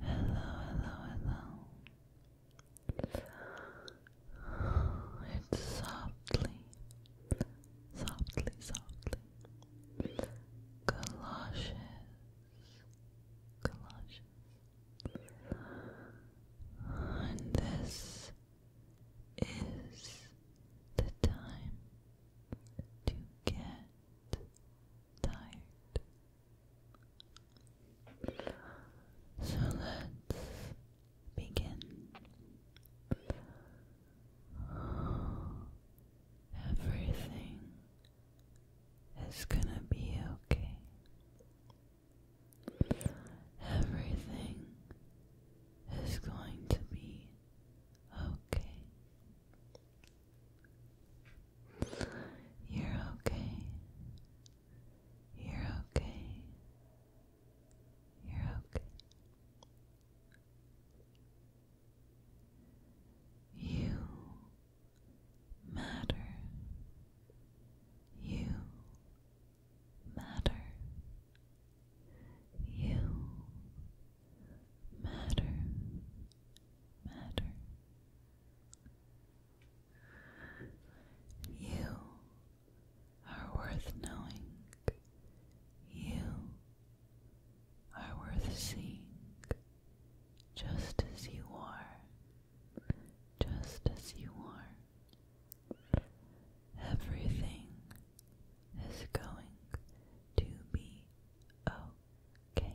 hello, hello. It's softly, softly, softly. Galoshes, galoshes. And this is the time to get tired. So let's begin. Everything is gonna be okay. Everything is going to be okay. You're okay. You're okay. You're okay. You matter. You matter. You matter matter. You are worth knowing. You are worth seeing just as you are. Just as you are. Everything is going to be okay.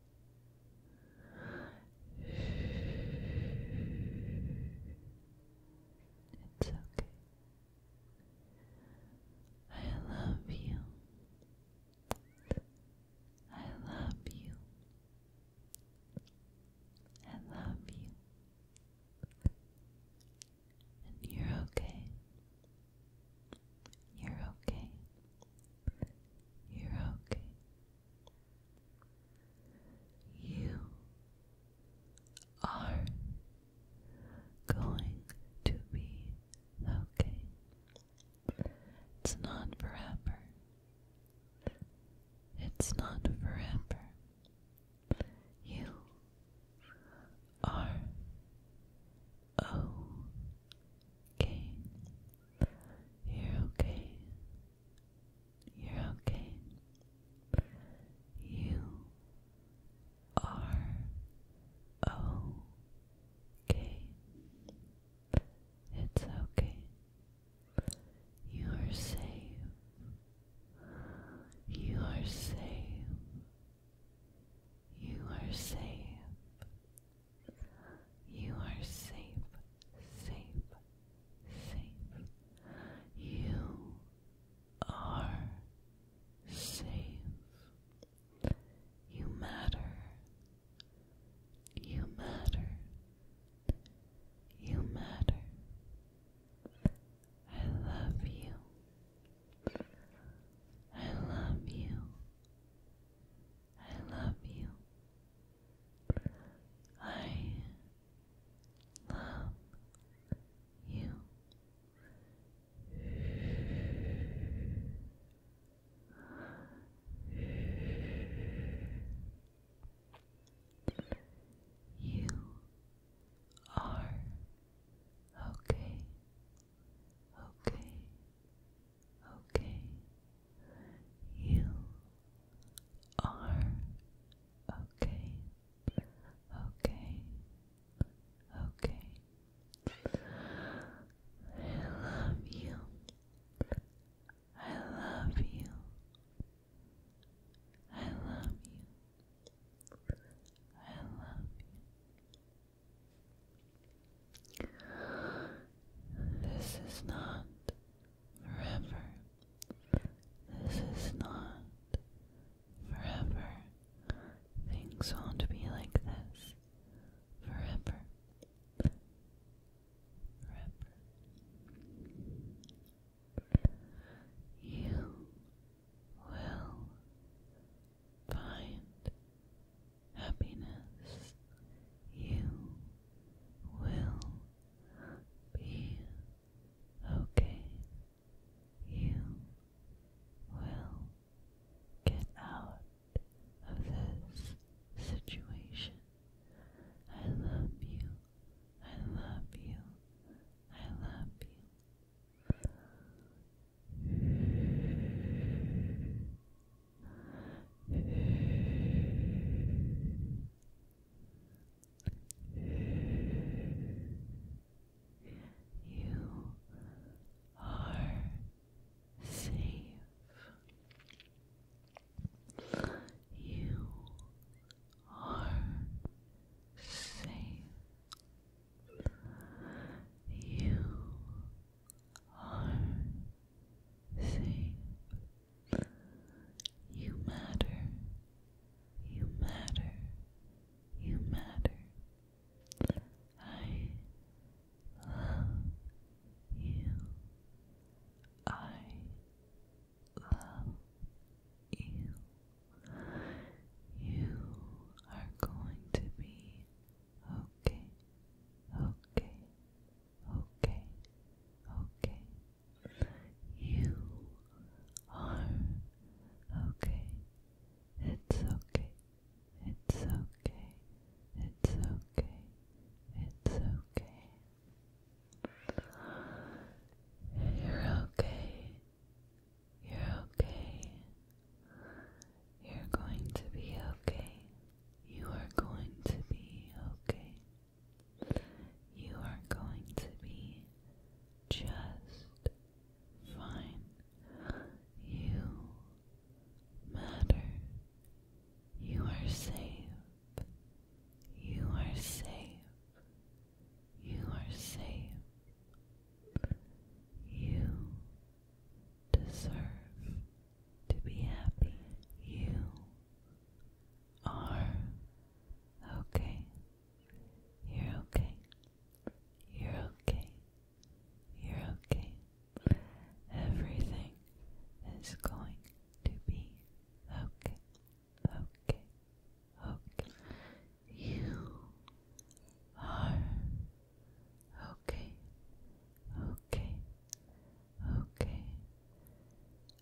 It's okay. I love you. I love you. I love you. And you're okay. You're okay. You're okay. You are going to be okay. It's not forever. It's not forever. You are okay. You're okay. You're okay. You are okay. It's okay. You are safe. You are safe. You are safe. You are safe, safe, safe. You are safe. You matter. You matter. You matter. I love you. I love you. I love you. I love you. You are okay, okay, okay, you are okay, okay, okay. I love you. I love you. I love you. I love you. This is not forever. This is not forever. Things won't be like this forever. Forever. You will find happiness. You will be okay. You will get out of this situation. I love you. I love you. I love you. You are safe. You are safe. You are safe. You matter. You matter. You matter. I you. I love you. You are going to be okay. Okay okay, okay. You are okay. It's okay. It's okay. It's okay. It's okay. You're okay. You're okay. You're going to be okay. You are going to be okay. You are going to be just fine. You matter. You are safe. You are safe. You are safe. You deserve to be happy. You are okay. You're okay. You're okay. You're okay. Everything is going to be okay. Okay. Okay. You are okay. Okay. Okay.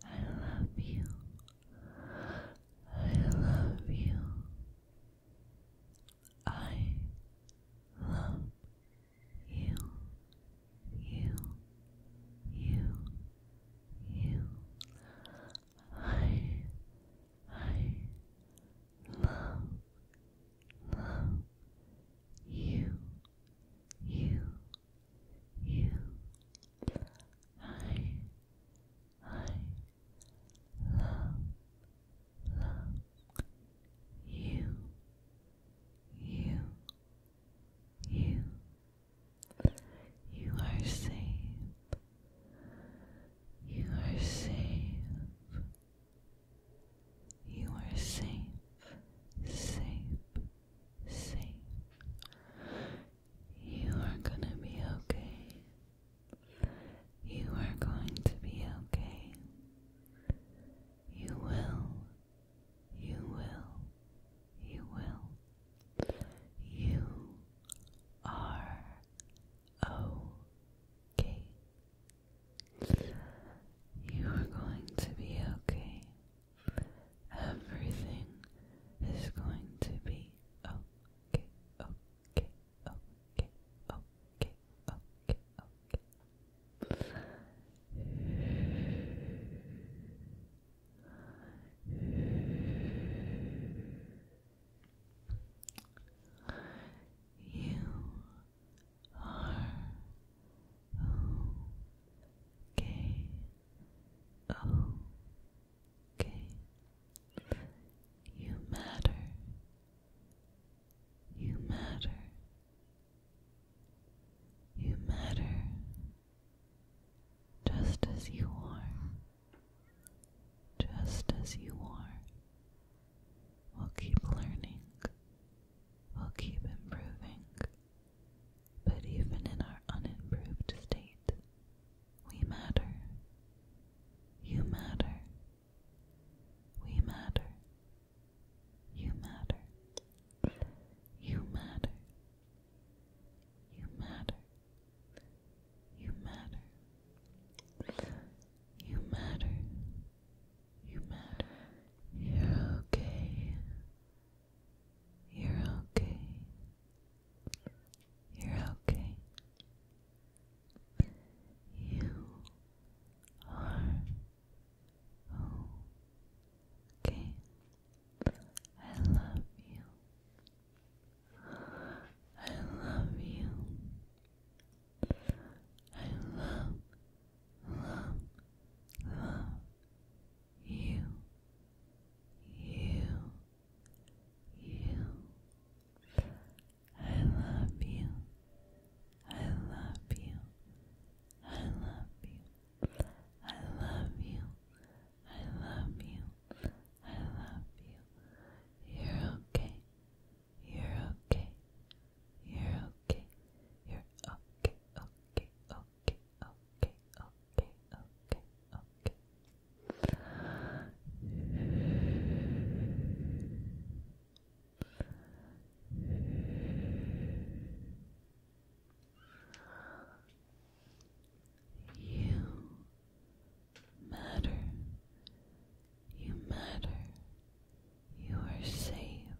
I love you. I love you. I love you. You. You. You. I. I love. Love. You. You you. I, I love, love you, you, you. You are safe. You are safe. You are safe, safe, safe. You are gonna be okay. You are going to be okay. You will. You will. You will. You are okay. You are going to be okay. Everything is going to be okay, okay, okay, okay, okay, okay. You are Okay. Okay. You matter. You matter. You matter just as you are. Just as you are. We'll keep learning we will keep improving. But even in our unimproved state, we matter. You matter. We matter. You matter. You matter. You matter. You matter. You matter. You're okay. You're okay. You're okay. You are okay. I love you. I love you. I love, you, you, you. I love you. I love you. I love you. I love you. I love you. I love you. You're okay. You're okay. You're okay. You're okay. Okay. Okay. You matter. You matter. You are safe.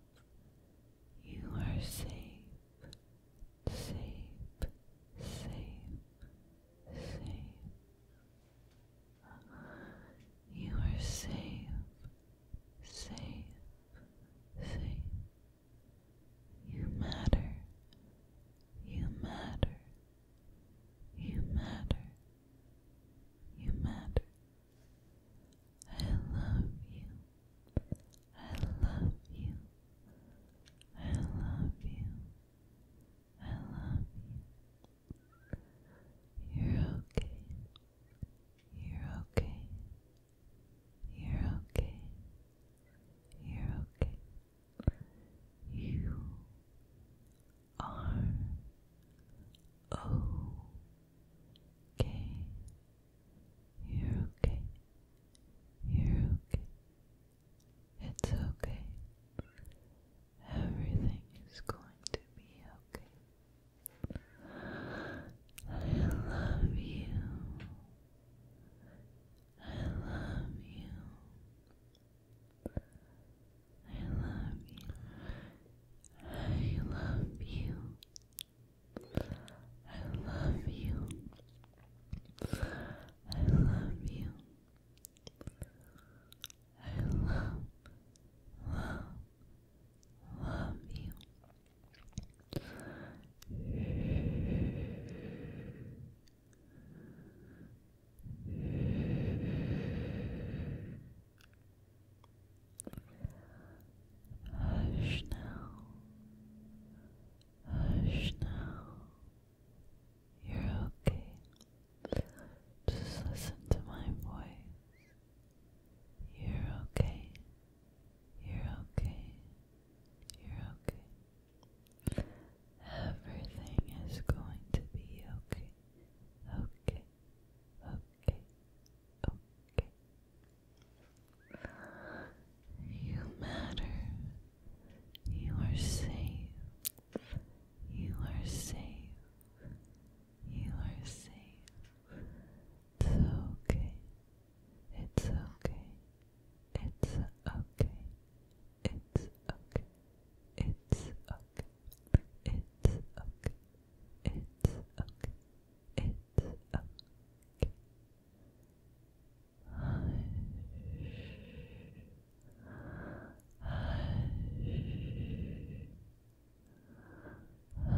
You are safe, safe, safe, safe. You are safe, safe, safe. You matter, you matter, you matter, you matter. I love you. I love you. I love you. I love you. You're okay. You're okay. You're okay. You're okay. You are okay. You're okay you are okay you are okay you're okay. You're okay. It's okay. Everything is going to be okay. I love you. I love you. I love you. I love you. I love you. I love you. I love, love, you. Hush now. Hush now. You're okay. Just listen to my voice. You're okay. You're okay. You're okay. Everything is going to be okay. Okay. Okay. Okay. You matter. You are safe. You are safe. You are safe. It's okay. It's okay. It's okay. It's okay. It's okay. It's okay. It's okay. It's okay. It's okay. Hush. Hush. Hush, hush, hush. Hush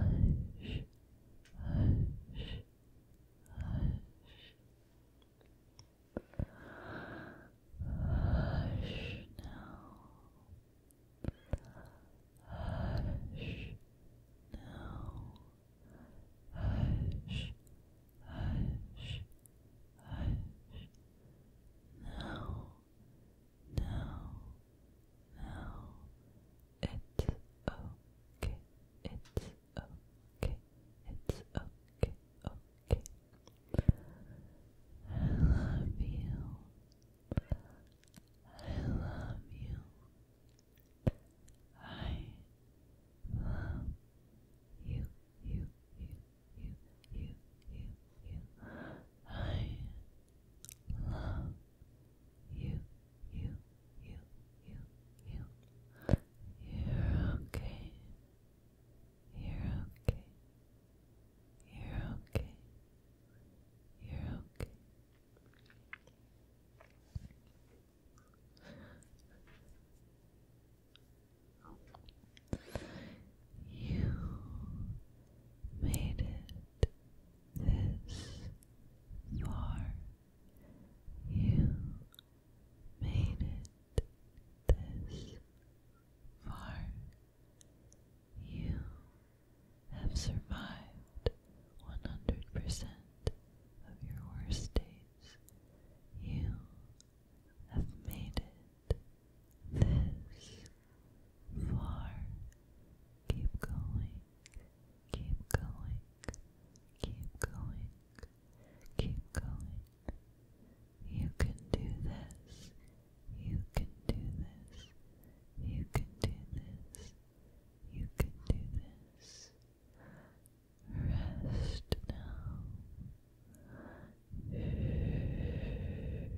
now. Hush now. Hush, hush, hush. Now, now, now. It's okay. It's okay. It's okay. Okay. I love you. I love you. I love you, you, you, you, you, you, you. I love you, you, you, you, you. You're okay. You're okay. You're okay. You're okay. You made it this far. You made it this far. You have survived 100% of your worst days. You have made it this far. Keep going, keep going, keep going, keep going. You can do this. You can do this. You can do this. You can do this. Rest now. Rest now. Rest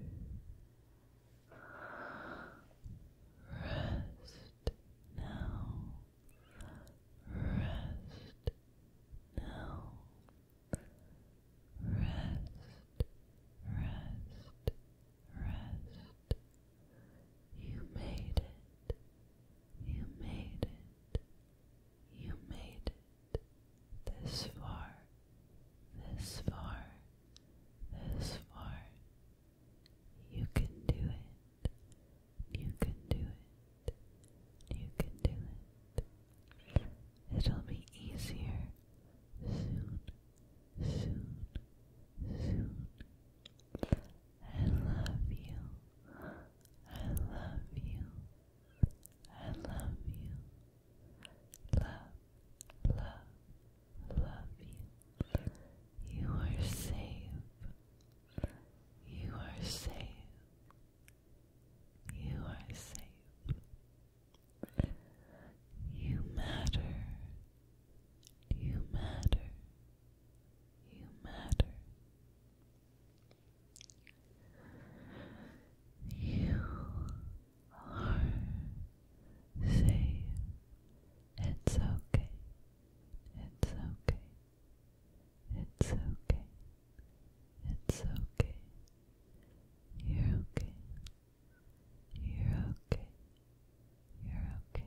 now. Rest, rest, rest. You made it. You made it. You made it. This far. This far. This far. You can do it. You can do it. You can do it. It'll be easier soon, soon, soon. I love you. I love you. I love you. Love, love, love you. You are safe. You are safe. You are safe. You matter. You matter. You matter. You are safe. It's okay. It's okay. It's okay. It's okay. You're okay. You're okay. You're okay.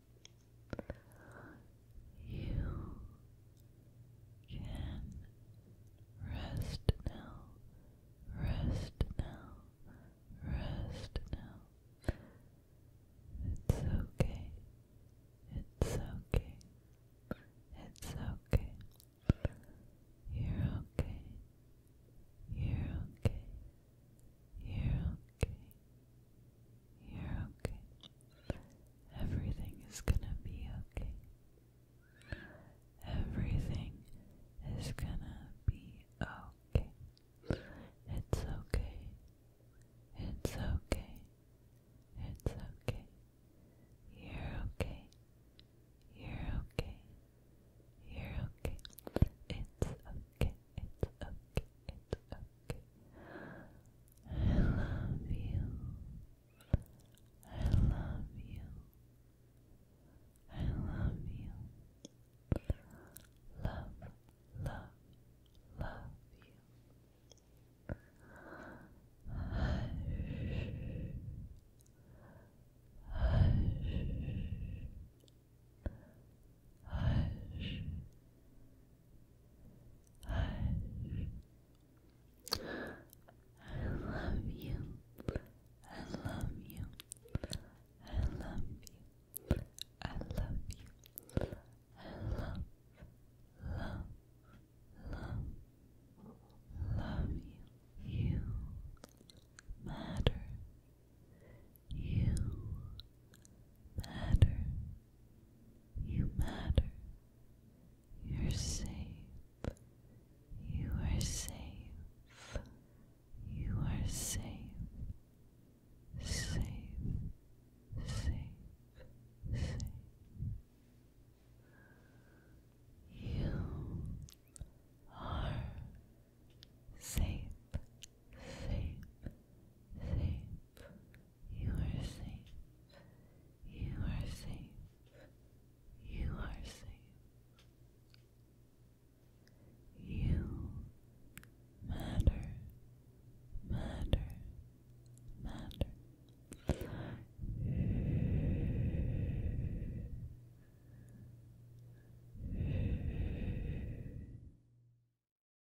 You can rest now, rest now, rest now. It's okay, it's okay, it's okay. You're okay, you're okay, you're okay. You're okay. Everything is gonna be okay. Everything is gonna be okay. It's okay. It's okay. It's okay. You're okay. You're okay. You're okay. It's okay it's okay, it's okay. I love you. I love you. I love you. Love, love, love you. Hush. Hush. Hush. Hush. I love you. I love you. I love you. I love you. I love, love, love, love you. You matter. You matter. You matter. You're safe. You are safe. You are safe. Safe. Safe. Safe. You are safe. Safe. Safe. You are safe. You are safe. You are safe. You matter, matter, matter.